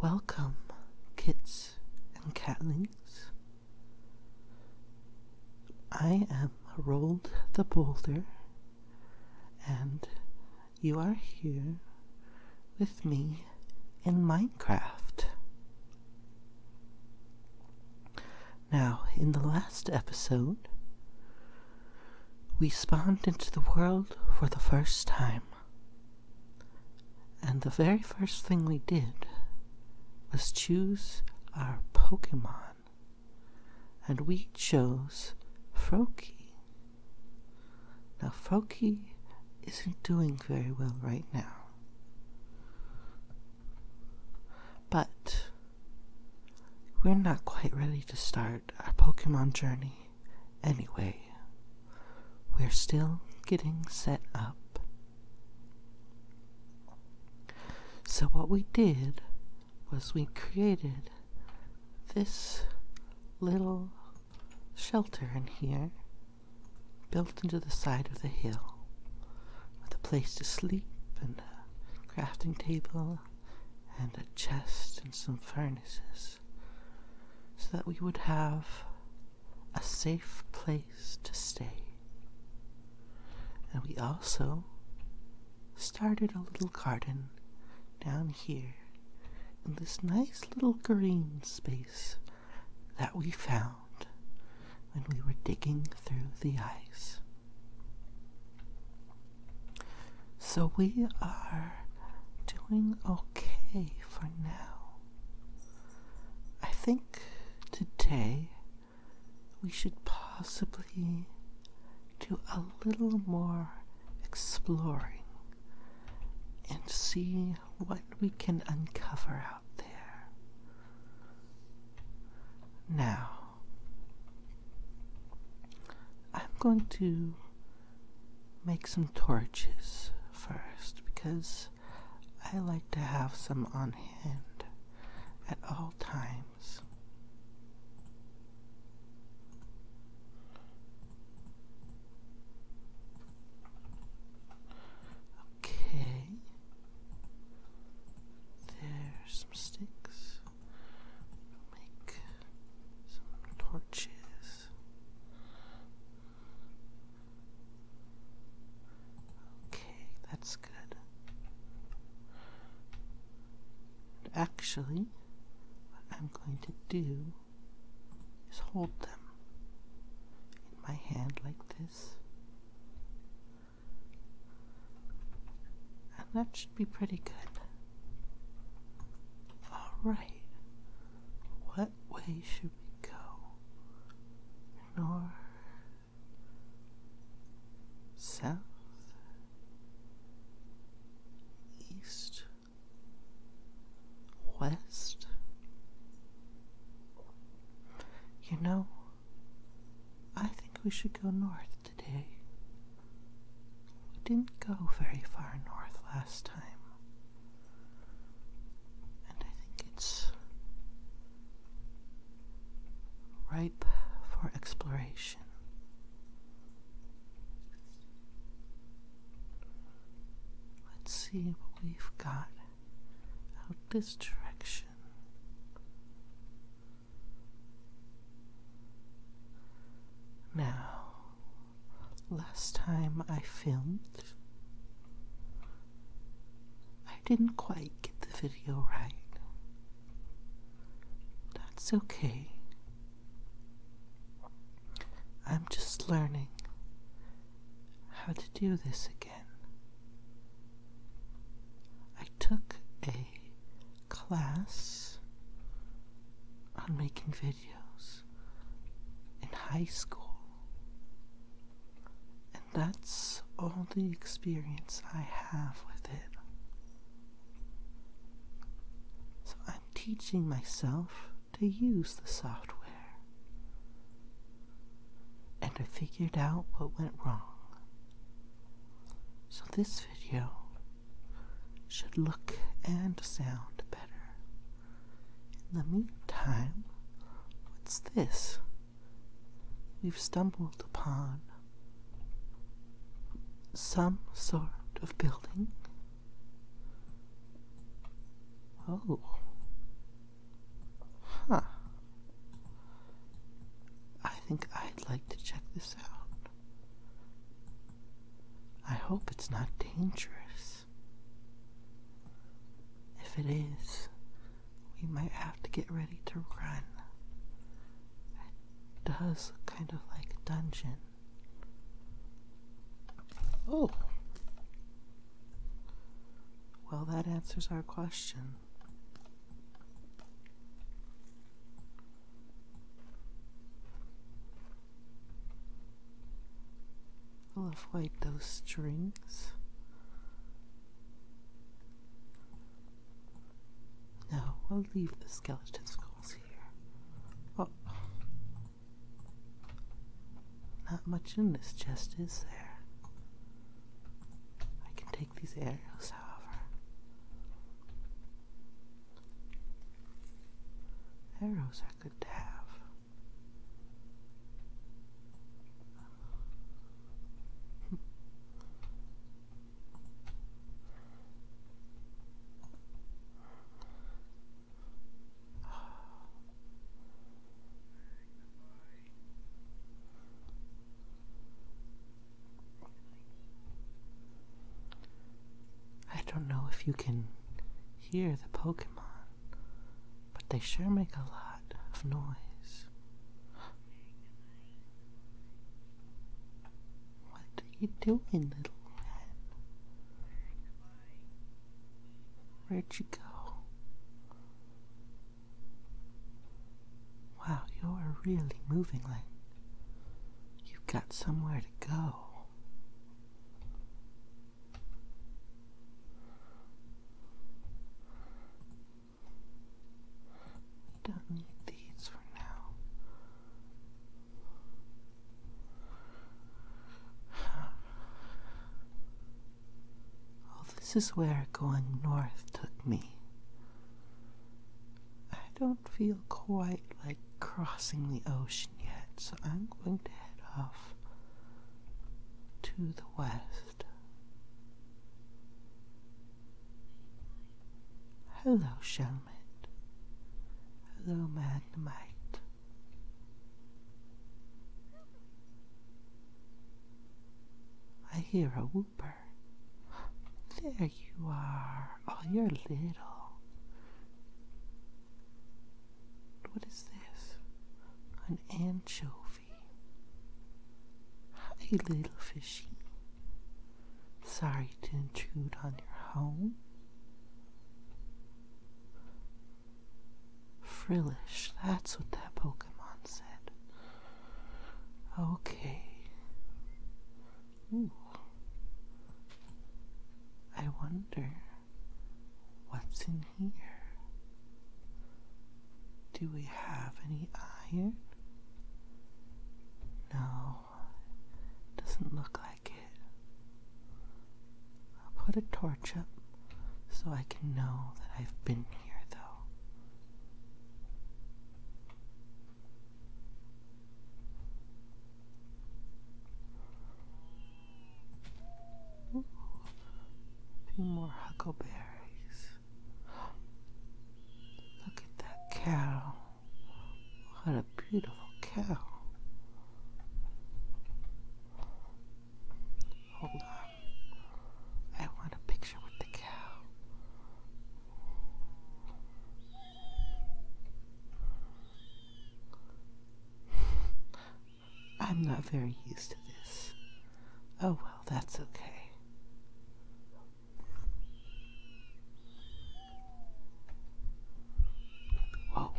Welcome, kits and catlings. I am Rolled the Boulder, and you are here with me in Minecraft. Now, in the last episode, we spawned into the world for the first time. And the very first thing we did was choose our Pokemon. And we chose Froakie. Now, Froakie isn't doing very well right now. But we're not quite ready to start our Pokemon journey anyway. We're still getting set up. So, what we did was we created this little shelter in here, built into the side of the hill, with a place to sleep and a crafting table and a chest and some furnaces so that we would have a safe place to stay. And we also started a little garden down here in this nice little green space that we found when we were digging through the ice. So we are doing okay for now. I think today we should possibly do a little more exploring and see what we can uncover out there. Now, I'm going to make some torches first because I like to have some on hand at all times. Okay. There's some sticks. Make some torches. Okay, that's good. actually, what I'm going to do is hold them in my hand like this. And that should be pretty good. Alright, what way should we go? North? South? East? West? You know, I think we should go north today. We didn't go very far north last time. And I think it's ripe for exploration. Let's see what we've got out this direction. Now, last time I filmed, I didn't quite get the video right. That's okay. I'm just learning how to do this again. I took a class on making videos in high school. And that's all the experience I have with it. So I'm teaching myself to use the software. And I figured out what went wrong. So this video should look and sound better. In the meantime, what's this we've stumbled upon? Some sort of building? Oh. Huh. I think I'd like to check this out. I hope it's not dangerous. If it is, we might have to get ready to run. It does kind of like a dungeon. Oh! Well, that answers our question. I'll have white those strings. No, I'll leave the skeleton skulls here. Oh. Not much in this chest, is there? I can take these arrows, however arrows are good to have. I don't know if you can hear the Pokemon, but they sure make a lot of noise. What are you doing, little man? Where'd you go? Wow, you're really moving like you've got somewhere to go. Don't need these for now. Well, this is where going north took me. I don't feel quite like crossing the ocean yet, so I'm going to head off to the west. Hello, Shelmet. Hello, Magnemite. I hear a whooper. There you are. Oh, you're little. What is this? An anchovy. Hi, little fishy. Sorry to intrude on your home. Frillish, that's what that Pokemon said. Okay. Ooh. I wonder what's in here. Do we have any iron? No, doesn't look like it. I'll put a torch up so I can know that I've been here, though. Ooh, more huckleberries. Look at that cow. What a beautiful cow. Hold on. I want a picture with the cow. I'm not very used to this. Oh well, that's okay. Whoa.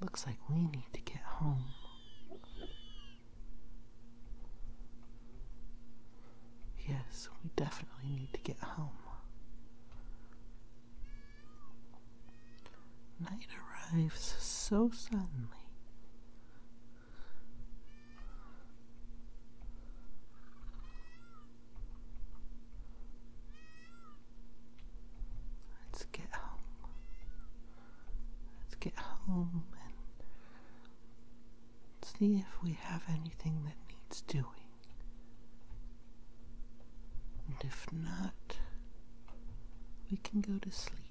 Looks like we need to get home. Yes, we definitely need to get home. Night arrives so suddenly. Let's get home. Let's get home and see if we have anything that needs doing. And if not, we can go to sleep.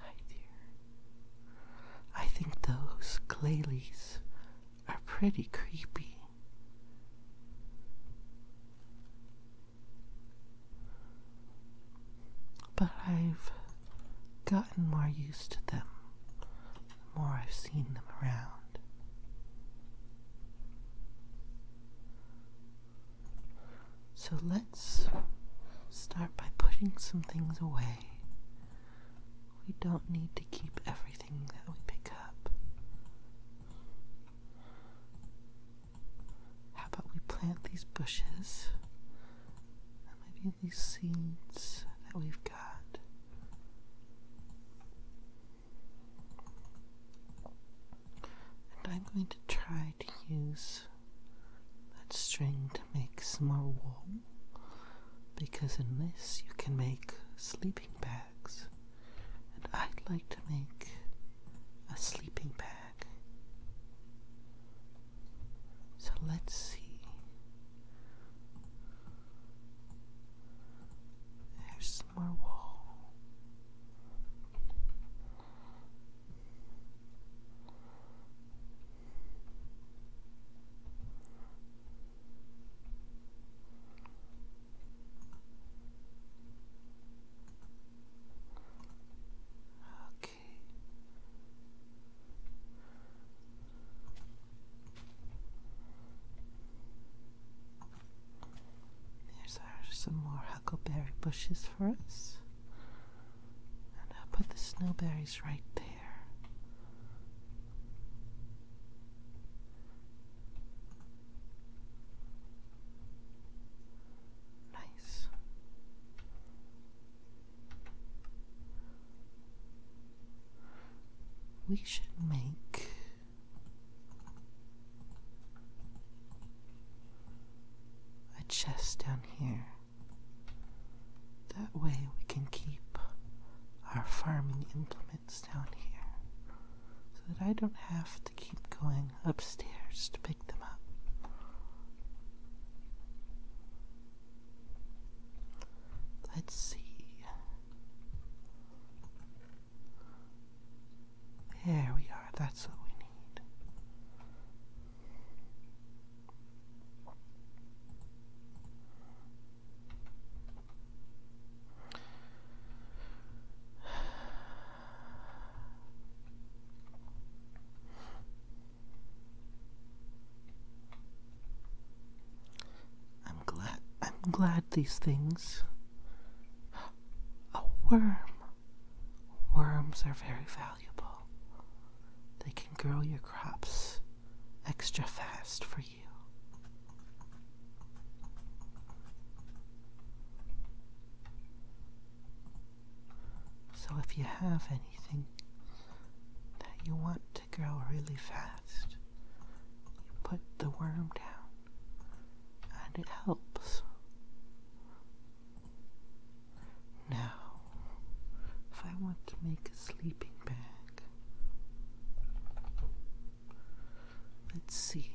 Hi, dear. I think those clay are pretty creepy. But I've gotten more used to them the more I've seen them around. So let's start by putting some things away. We don't need to keep everything that we pick up. How about we plant these bushes maybe these seeds that we've got? And I'm going to try to use that string to make more wool because in this you can make sleeping bags and I'd like to make a sleeping bag. So let's see. There's more wool. Okay. There's uh, some more huckleberry bushes for us. And I'll put the snowberries right there. Nice. We should make a chest down here. That way we can keep our farming implements down here so that I don't have to keep going upstairs to pick them up. Let's see. There we are, that's what we need. I'm glad I'm glad these things a worm. Worms are very they can grow your crops extra fast for you. So, if you have anything that you want to grow really fast, you put the worm down and it helps. Now, if I want to make a sleeping bag, let's see.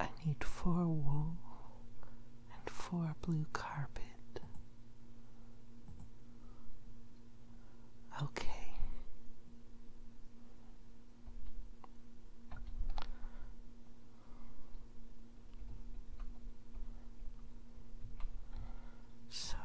I need four wool and four blue carpet. Okay, so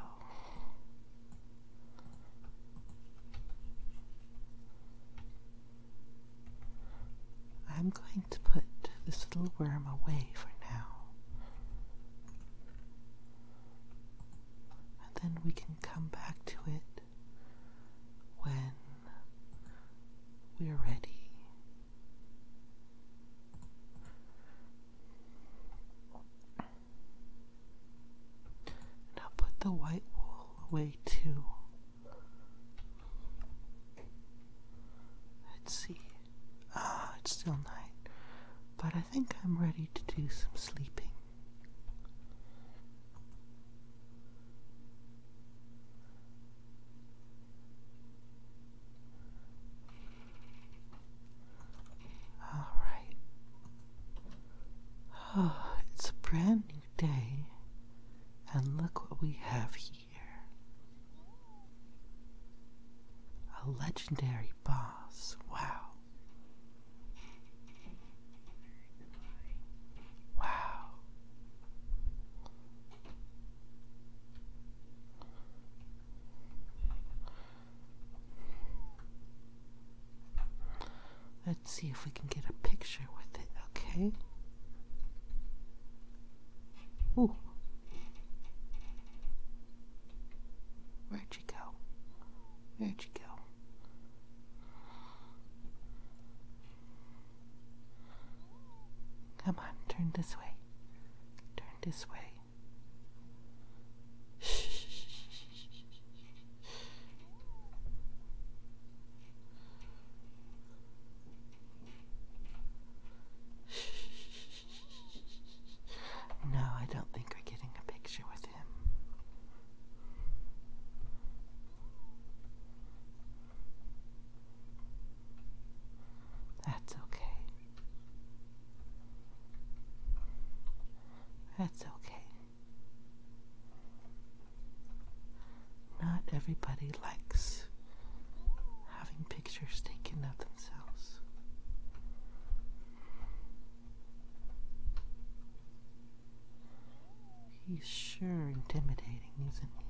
I'm going to put this little worm away for now. And then we can come back to it when we're ready. And put the white wool away too. Let's see. Ah, it's still night, but I think I'm ready to do some sleeping. All right. Oh, it's a brand new day, and look what we have here a legendary boss. Wow. Wow. Let's see if we can get a picture with it, okay? Ooh. Where'd you go? Where'd you go? Come on, turn this way. Turn this way. No, I don't think we're getting a picture with him. That's okay. That's okay. Not everybody likes having pictures taken of themselves. He's sure intimidating, isn't he?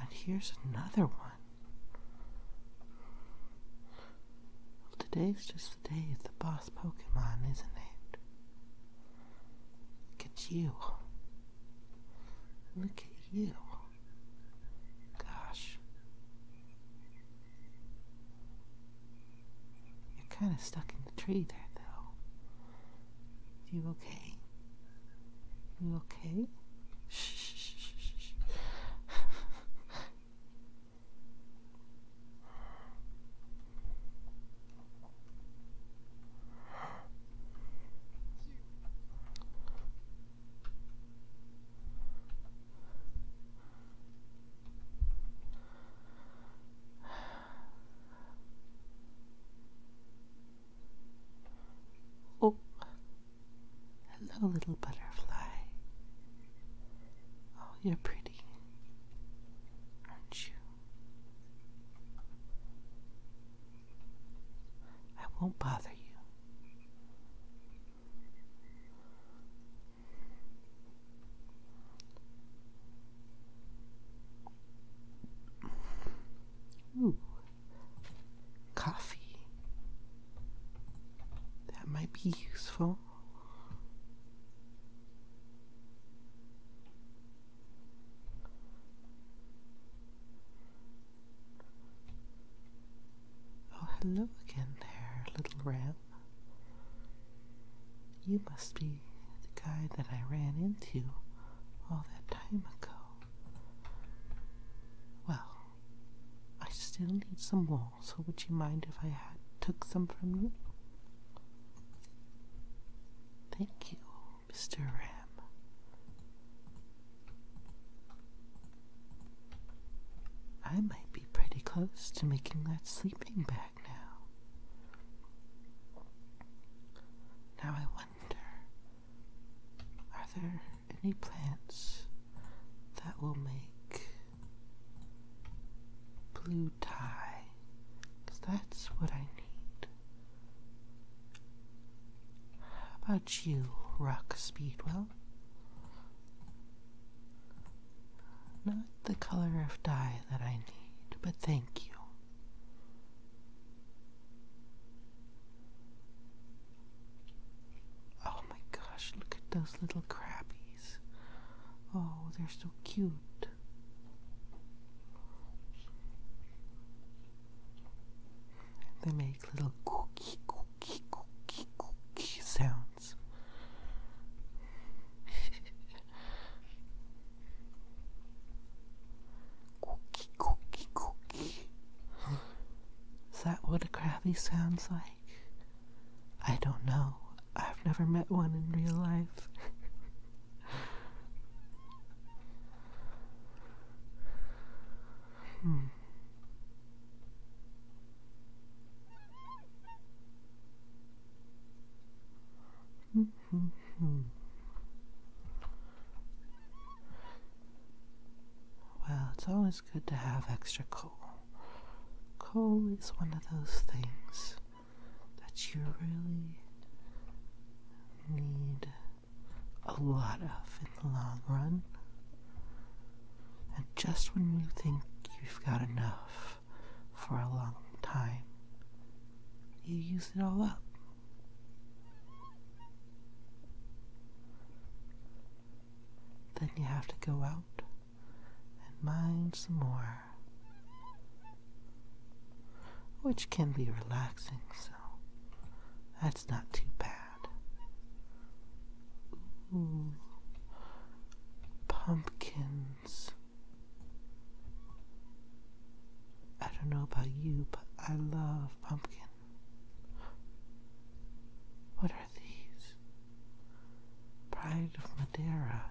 And here's another one. Well, today's just the day of the boss Pokemon, isn't it? Look at you. Look at you. Gosh. You're kind of stuck in the tree there, though. You okay? You okay? shh. Oh, hello, little butterfly. Oh, you're pretty, aren't you? I won't bother you. Ooh, coffee. That might be useful. Oh, hello again there, little rat. You must be the guy that I ran into all that time ago. Well, I still need some wool, so would you mind if I took some from you? Thank you, Mr. Ram. I might be pretty close to making that sleeping bag now. Now I wonder, are there any plants that will make blue dye? that's what I need. How about you, Rock Speedwell? Not the color of dye that I need, but thank you. Oh my gosh, look at those little crabbies. Oh, they're so cute. They make little cookie, cookie, cookie, cookie sounds cookie, cookie, cookie. Is that what a crabby sounds like? I don't know. I've never met one in real life. hmm well, it's always good to have extra coal. Coal is one of those things that you really need a lot of in the long run. And just when you think you've got enough, for a long time, you use it all up. Then you have to go out and mine some more, which can be relaxing, so that's not too bad. Ooh, pumpkin I don't know about you, but I love pumpkin. What are these? Pride of Madeira.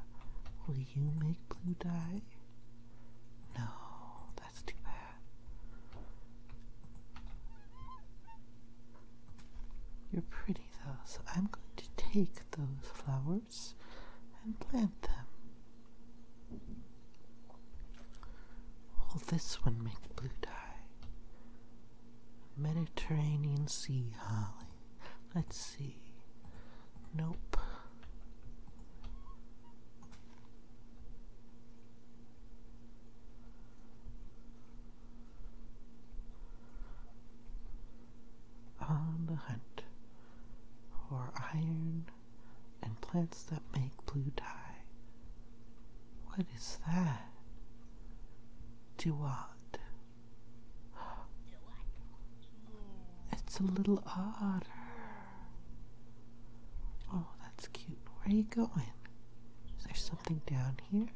Will you make blue dye? No, that's too bad. You're pretty so I'm going to take those flowers and plant them. Will this one make blue dye? Mediterranean Sea Holly. Let's see. Nope on the hunt for iron and plants that make blue dye. What is that? Duat. It's a little otter. Oh, that's cute. Where are you going? Is there something down here?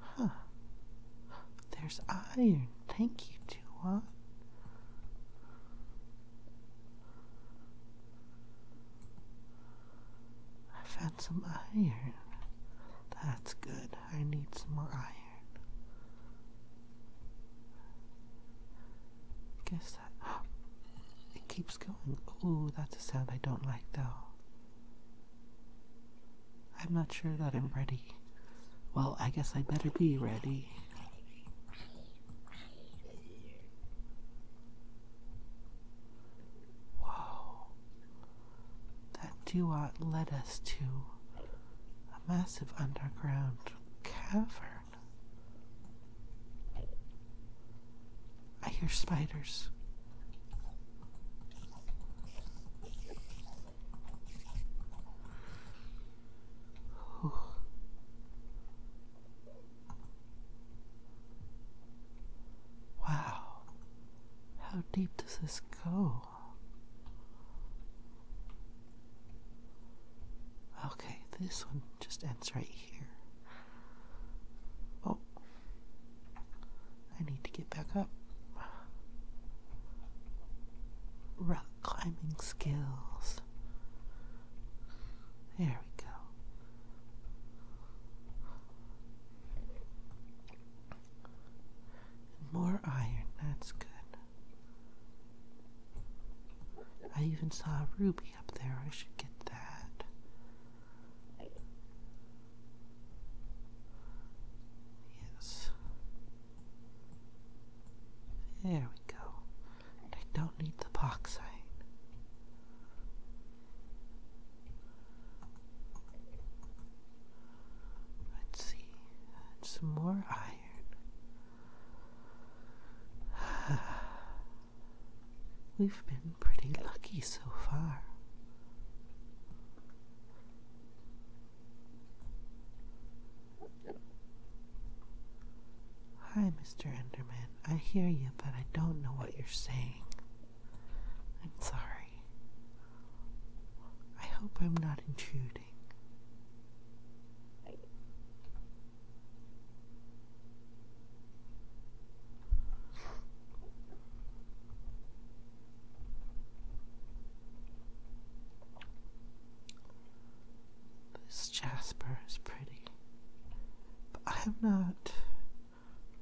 Huh. There's iron. Thank you, Tuan. I found some iron. That's good. I need some more iron. Guess that. it keeps going. Oh, that's a sound I don't like though. I'm not sure that I'm ready. Well, I guess I better be ready. Wow. That duot led us to a massive underground cavern. I hear spiders. Whew. Wow, how deep does this go? Okay, this one just ends right here. Oh, I need to get back up. Rock climbing skills. There we go. And more iron, that's good. I even saw a ruby up there. I should get that. Yes. There we go. I don't need the box sign. Let's see. Some more iron. We've been pretty lucky so far. Hi, Mr. Enderman. I hear you, but I don't know what you're saying. I'm sorry. I hope I'm not intruding. This Jasper is pretty, but I'm not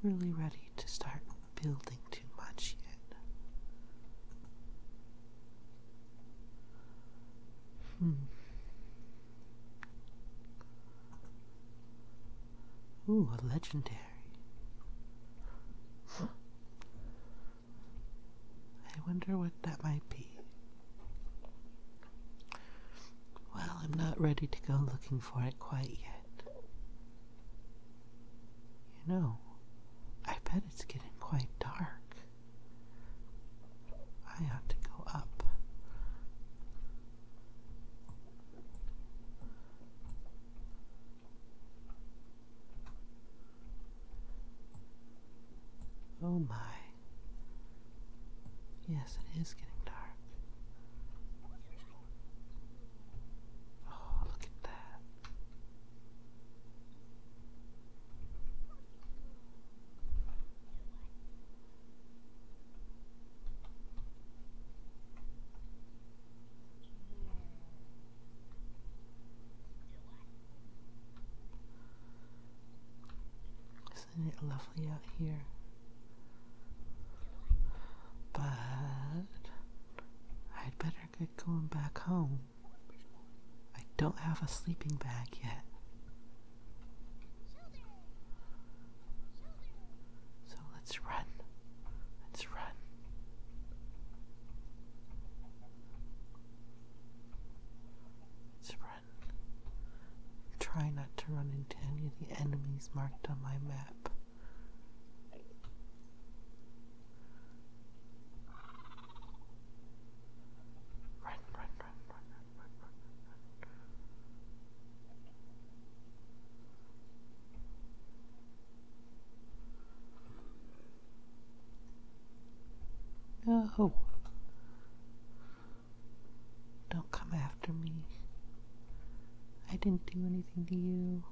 really ready to start building too much yet. Hmm. Ooh, a legendary. I wonder what that might be. Well, I'm not ready to go looking for it quite yet. You know, I bet it's getting quite dark. I have to go up. Oh my. Yes, it is getting dark. Oh, look at that. Isn't it lovely out here? But I'd better get going back home. I don't have a sleeping bag yet. So let's run. Let's run. Let's run. Try not to run into any of the enemies marked on my map. Run, No. Don't come after me. I didn't do anything to you.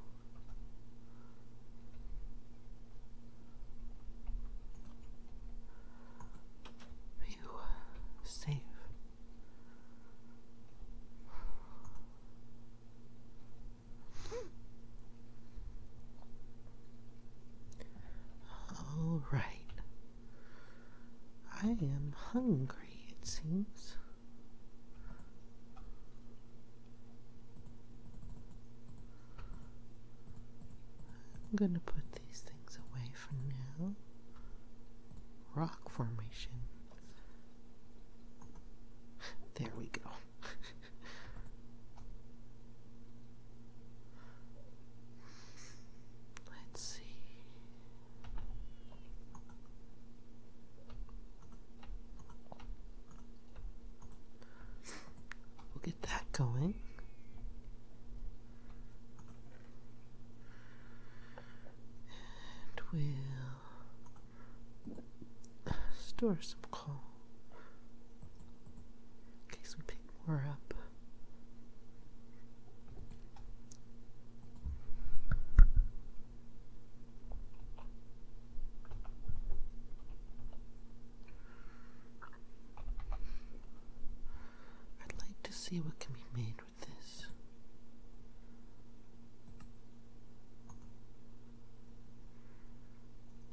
You safe. All right. I am hungry, it seems. I'm going to put these things away for now. Rock formation. There we go. Let's see. we Get that going. And we'll store some coal in case we pick more up. I'd like to see what can be made with this.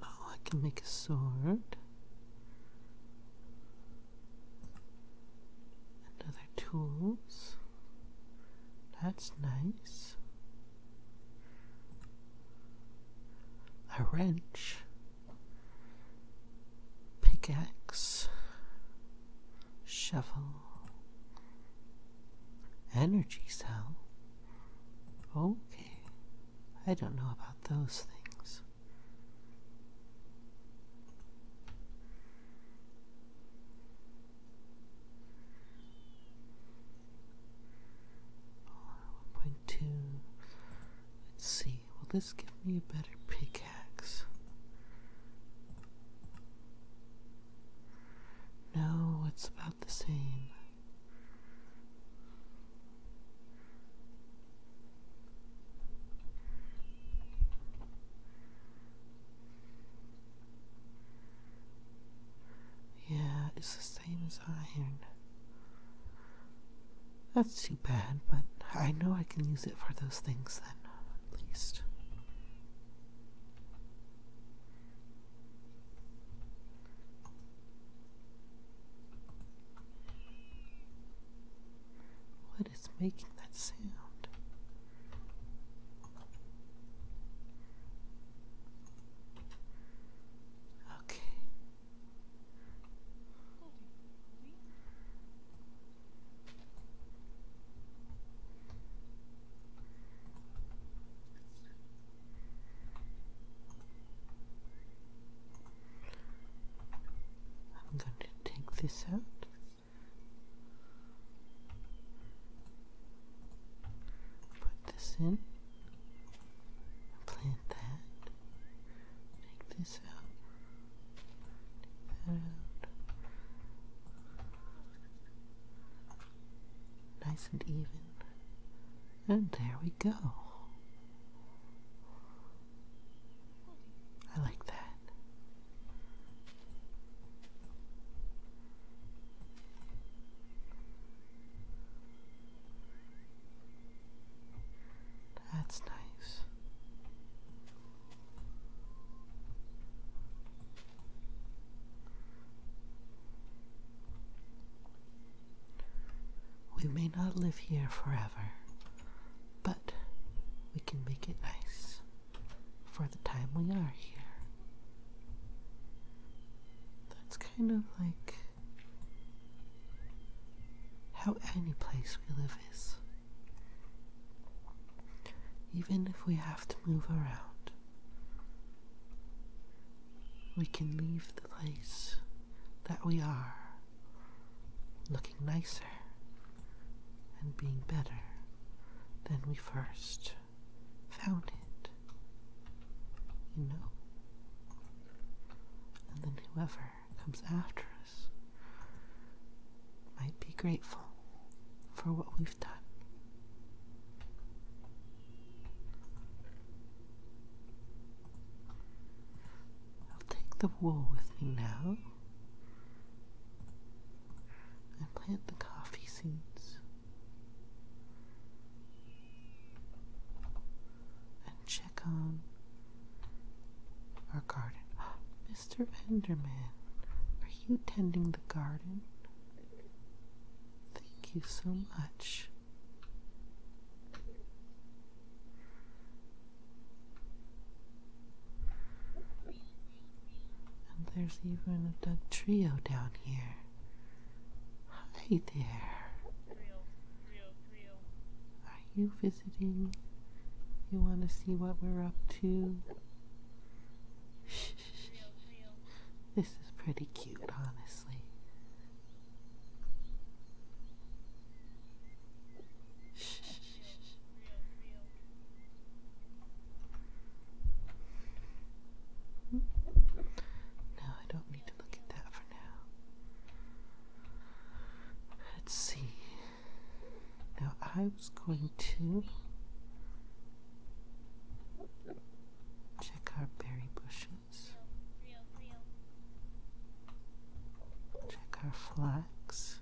Oh, I can make a sword. And other tools. That's nice. A wrench pickaxe, shovel, energy cell. Okay, I don't know about those things. One point two. Let's see, will this give me a better pickaxe? No, it's about the same. Yeah, it's the same as iron. That's too bad, but I know I can use it for those things then, at least. What is making that sound? Okay, I'm going to take this out. Put this in, and that. Take this out. that out. Nice and even. And there we go. I like that. That's nice. We may not live here forever, but we can make it nice for the time we are here. That's kind of like how any place we live is. Even if we have to move around, we can leave the place that we are looking nicer and being better than we first found it you know. And then whoever comes after us might be grateful for what we've done. I'll take the wool with me now and plant the coffee seeds and check on our garden. Mr. Benderman, are you tending the garden? Thank you so much. And there's even a Doug trio down here. Hi there. Are you visiting? You want to see what we're up to? This is pretty cute, honestly. Hmm? No, I don't look at that for now. Let's see. Now I was going to check our berry bushes. Check our flax.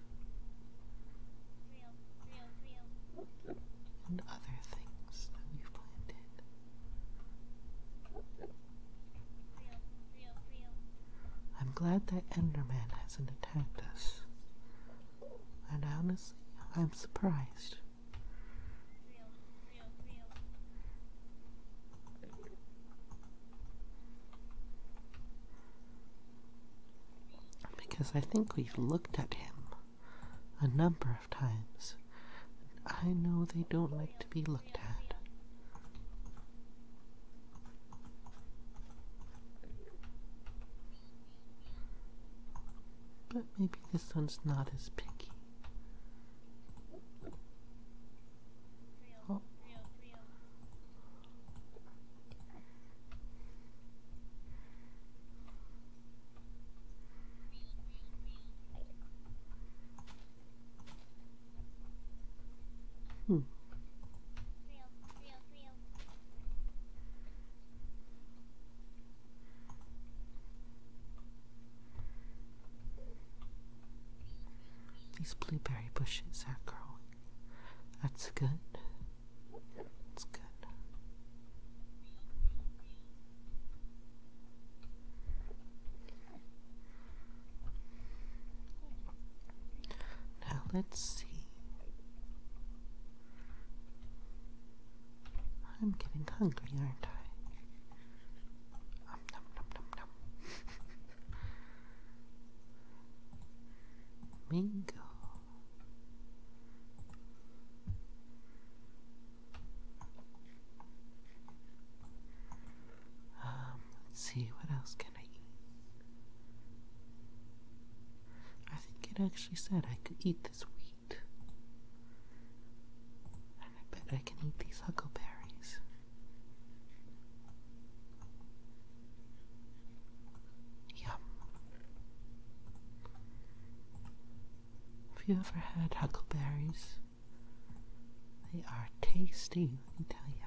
And other things that we planted. I'm glad that Enderman hasn't attacked us. And honestly, I'm surprised. Because I think we've looked at him a number of times. I know they don't like to be looked at. But maybe this one's not as picky. Oh. Hmm. These blueberry bushes are growing. That's good. That's good. Now let's see. I'm getting hungry, aren't I? Um, Um, let's see, what else can I eat? I think it actually said I could eat this wheat. I bet I can eat these huckleberries. Yum. Have you ever had huckleberries? They are tasty, let me tell you.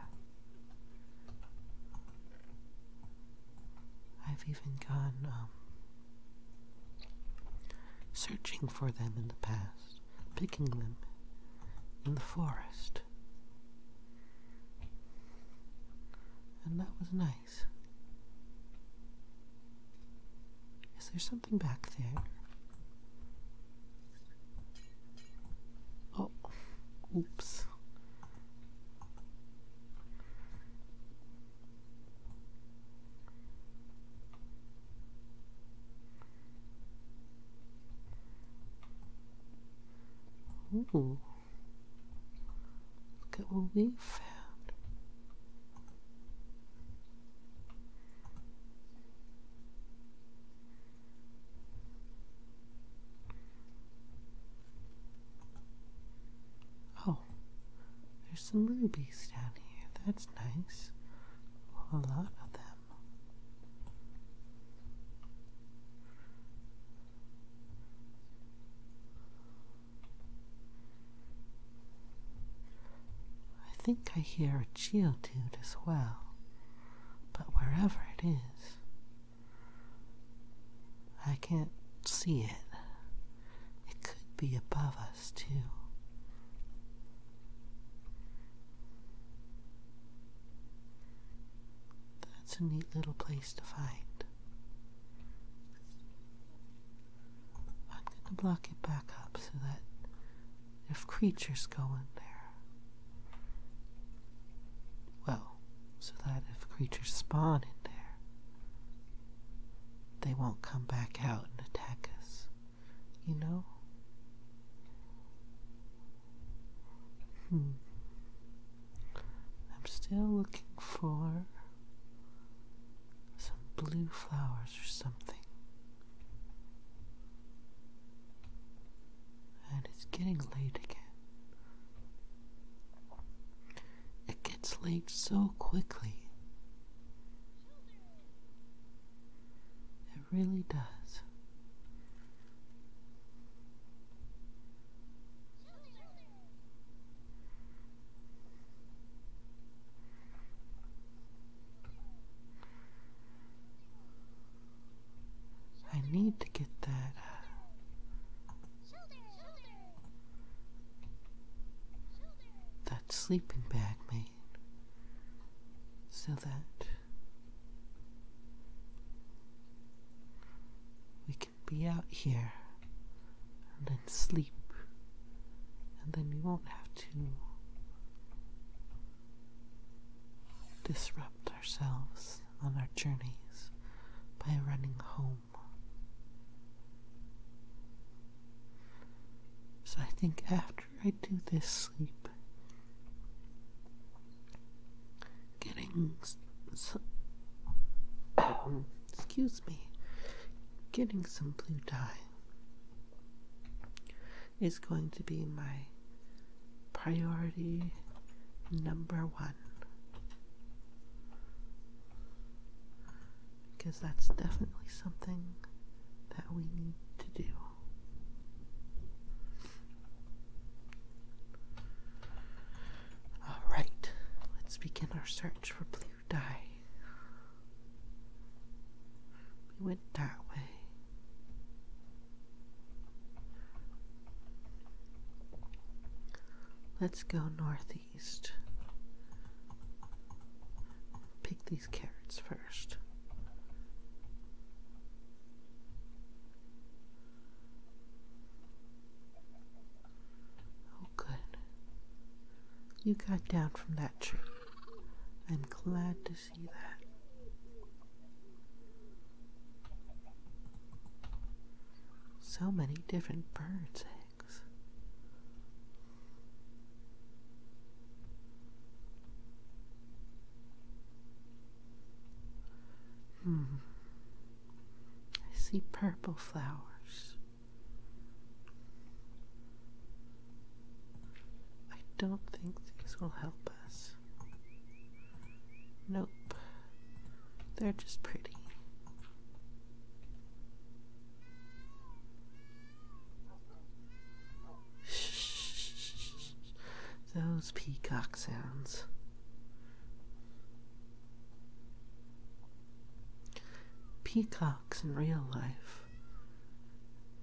I've even gone um, searching for them in the past, picking them in the forest. And that was nice. Is there something back there? Oh, oops. Ooh. Look at what we found. Oh, there's some rubies down here. That's nice. A lot of them. I think I hear a geodude as well, but wherever it is, I can't see it. It could be above us, too. That's a neat little place to find. I'm going to block it back up so that if creatures go in there. Well, so that if creatures spawn in there, they won't come back out and attack us, you know? Hmm. I'm still looking for some blue flowers or something. And it's getting late again. It gets late so quickly. It really does. I need to get that. Uh, that sleeping bag made so that we can be out here and then sleep and then we won't have to disrupt ourselves on our journeys by running home. So I think after I do this sleep, getting um, excuse me, getting some blue dye is going to be my priority number one. Because that's definitely something that we need to do. Alright, let's begin our search for blue dye. We went that way. Let's go northeast. Pick these carrots first. Oh, good. You got down from that tree. I'm glad to see that. So many different birds' eggs. Hmm. I see purple flowers. I don't think these will help us. Nope. They're just pretty. Those peacock sounds. Peacock in real life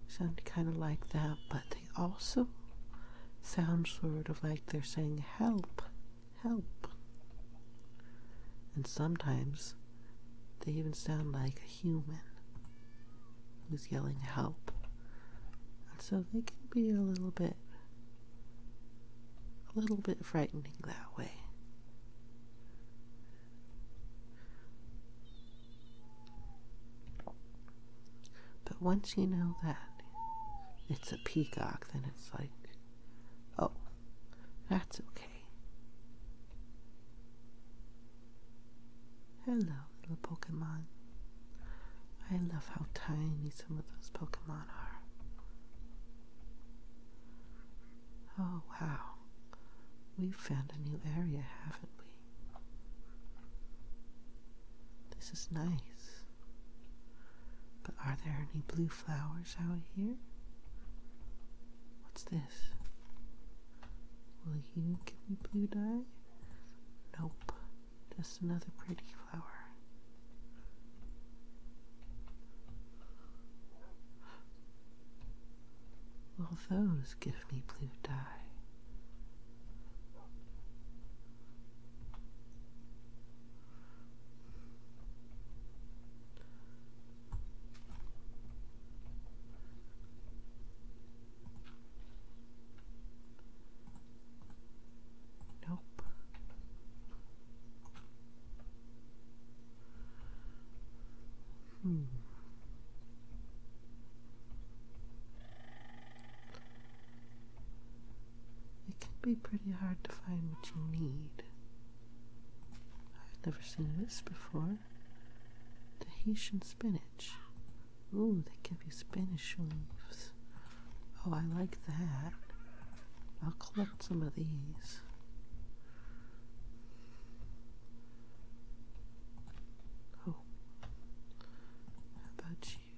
sound kind of like that, but they also sound sort of like they're saying help, help. And sometimes they even sound like a human who's yelling help. And so they can be a little bit a little bit frightening that way. But once you know that it's a peacock, then it's like, oh, that's okay. Hello, little Pokemon. I love how tiny some of those Pokemon are. Oh, wow. We've found a new area, haven't we? This is nice. But are there any blue flowers out here? What's this? Will you give me blue dye? Nope. Just another pretty flower. Will those give beautifully blue dye. Nope. Hmm. It can be pretty hard to find what you need. I've never seen this before. The Haitian spinach. Ooh, they give you spinach leaves. Oh, I like that. I'll collect some of these. Oh, how about you?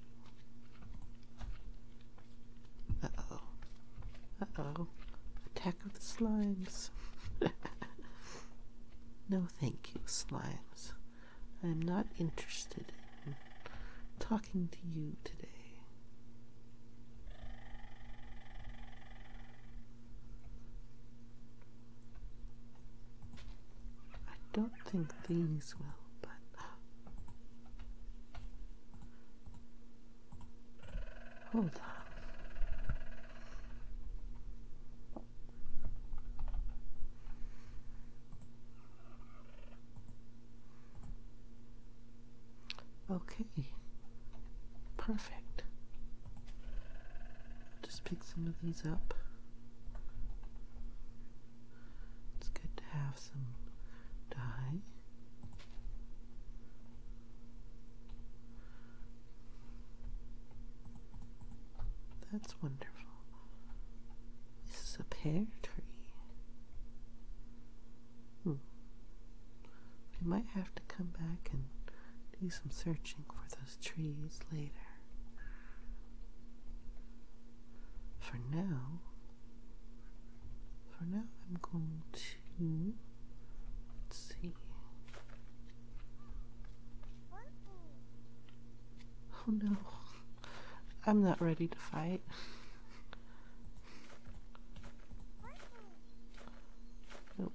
Uh oh. Uh oh. Attack of the slimes. no, thank you, slimes. I am not interested in talking to you today. I don't think these will, but. Hold on. Okay. Perfect just pick some of these up. It's good to have some dye. That's wonderful. This is a pear tree. Hmm. We might have to come back and do some searching for the trees later. For now, for now I'm going to let's see. Oh no, I'm not ready to fight. Nope.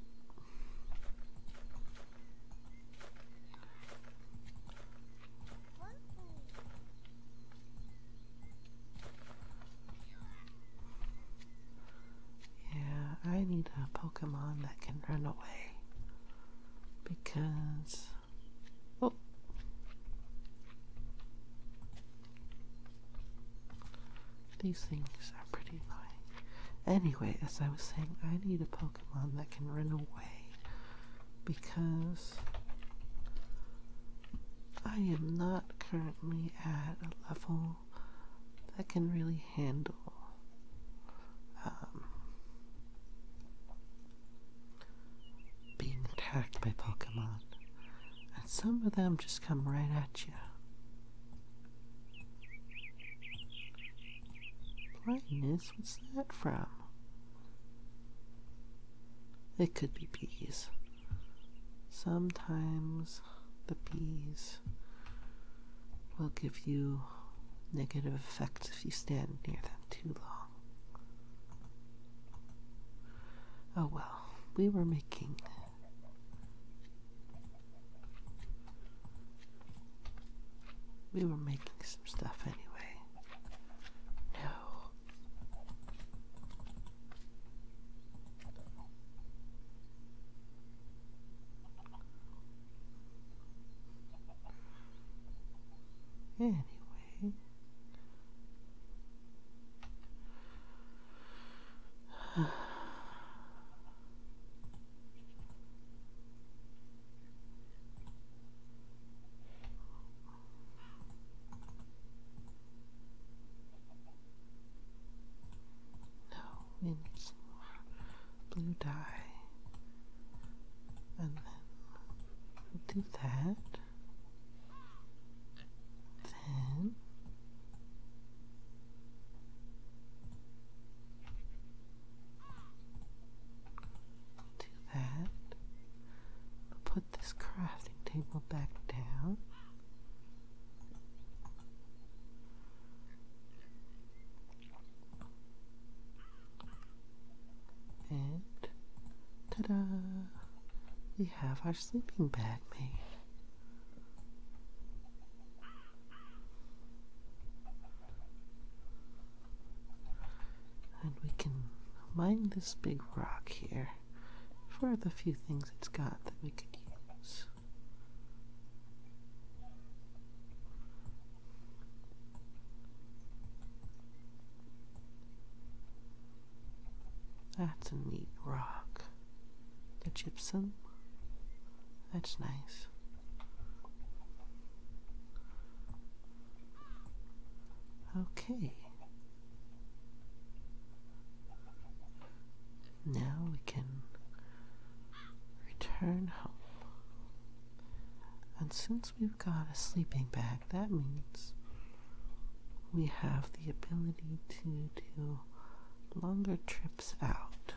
Yeah, I need a Pokemon that can run away because. Oh. These things are pretty annoying. Anyway, as I was saying, I need a Pokemon that can run away because I am not currently at a level that can really handle um, being attacked by Pokemon. And some of them just come right at you. Brightness. What's that from? It could be bees. Sometimes the bees will give you negative effects if you stand near them too long. Oh well, we were making we were making some stuff anyway. No. Anyway. No, mint blue dye. And then do that. Then do that. put this crafting table back down. And ta-da! We have our sleeping bag made. And we can mine this big rock here for the few things it's got that we could use. That's a neat rock. The gypsum. That's nice. Okay. Now we can return home. And since we've got a sleeping bag, that means we have the ability to do longer trips out.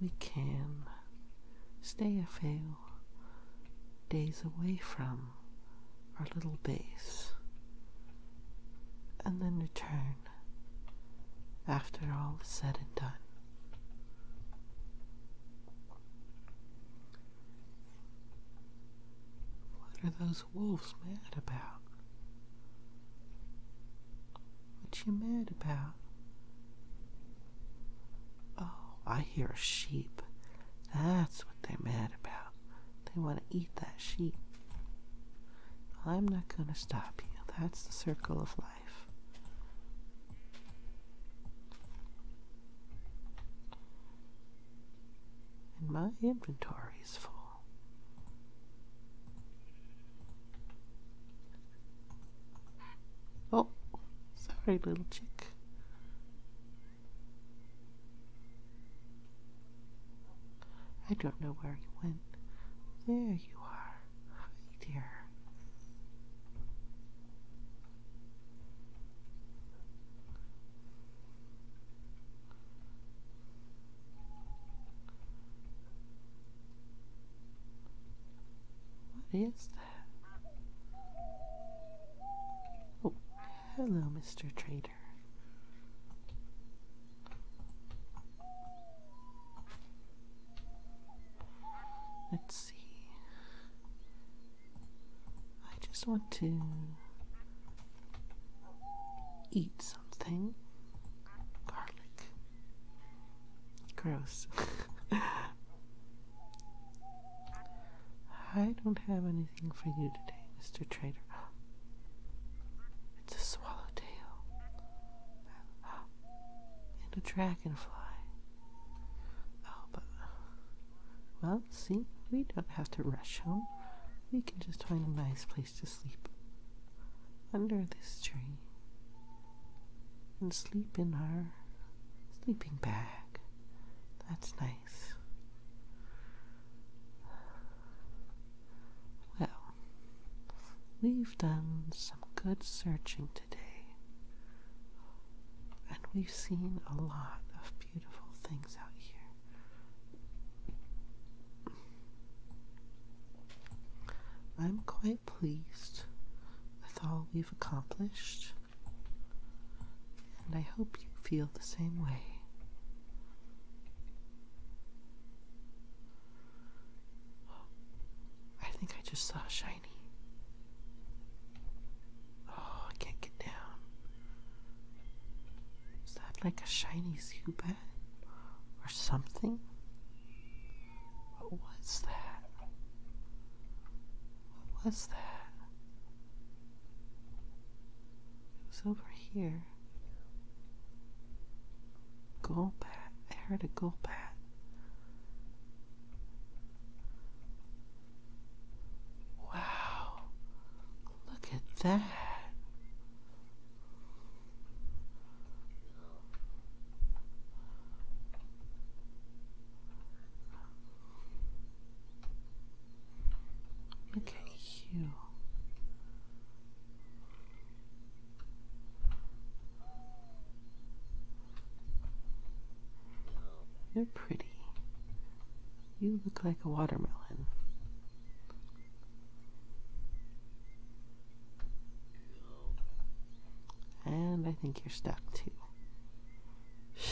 We can stay a few days away from our little base and then return after all is said and done. What are those this wolf's mad about? What you mad about? Oh, I hear a sheep. That's what they're mad about. They want to eat that sheep. I'm not going to stop you. That's the circle of life. And my inventory is full. Oh, sorry, little chick. I don't know where you went. There you are. dear. What is that? Oh, hello, Mr. Trader. Let's see. I just want to eat something. Garlic. Gross. I don't have anything for you today, Mr. Trader. It's a swallowtail and a dragonfly. Oh, but well, see, we don't have to rush home. We can just find a nice place to sleep under this tree and sleep in our sleeping bag. That's nice. Well, we've done some good searching today. And we've seen a lot of beautiful things out here. I'm quite pleased with all we've accomplished, and I hope you feel the same way. I think I just saw Shiny. Oh, I can't get down. Is that like a shiny Zubat? Or something? What was that? What was that? It was over here. Golbat. I heard a Golbat. Wow. Look at that. Look at you. You're pretty. You look like a watermelon. And I think you're stuck too.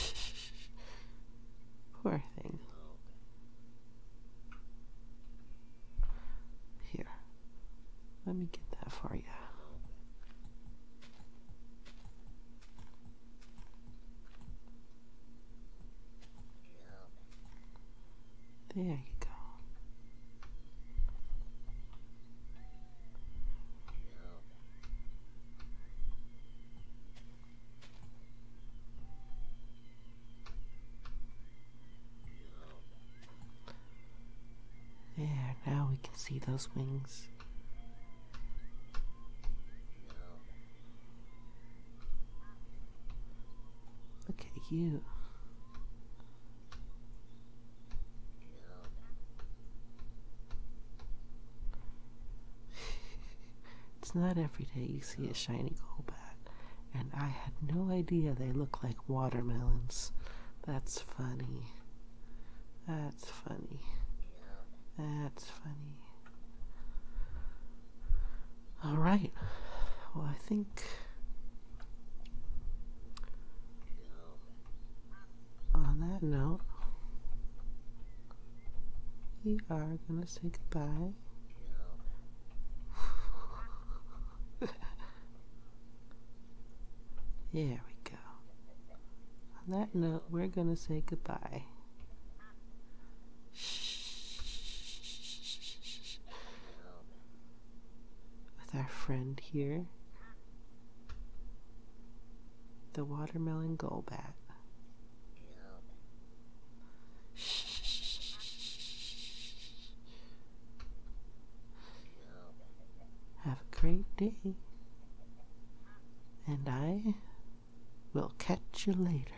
Poor thing. Here. Let me get that for you. There you go. There, now we can see those wings. Look at you. it's not every day you see a shiny gold bat, and I had no idea they look like watermelons. That's funny. That's funny. That's funny. All right. Well, I think on that note, we are going to say goodbye. there we go. On that note, we're going to say goodbye. Shh with our friend here, the watermelon gullbat. Have a great day, and I will catch you later.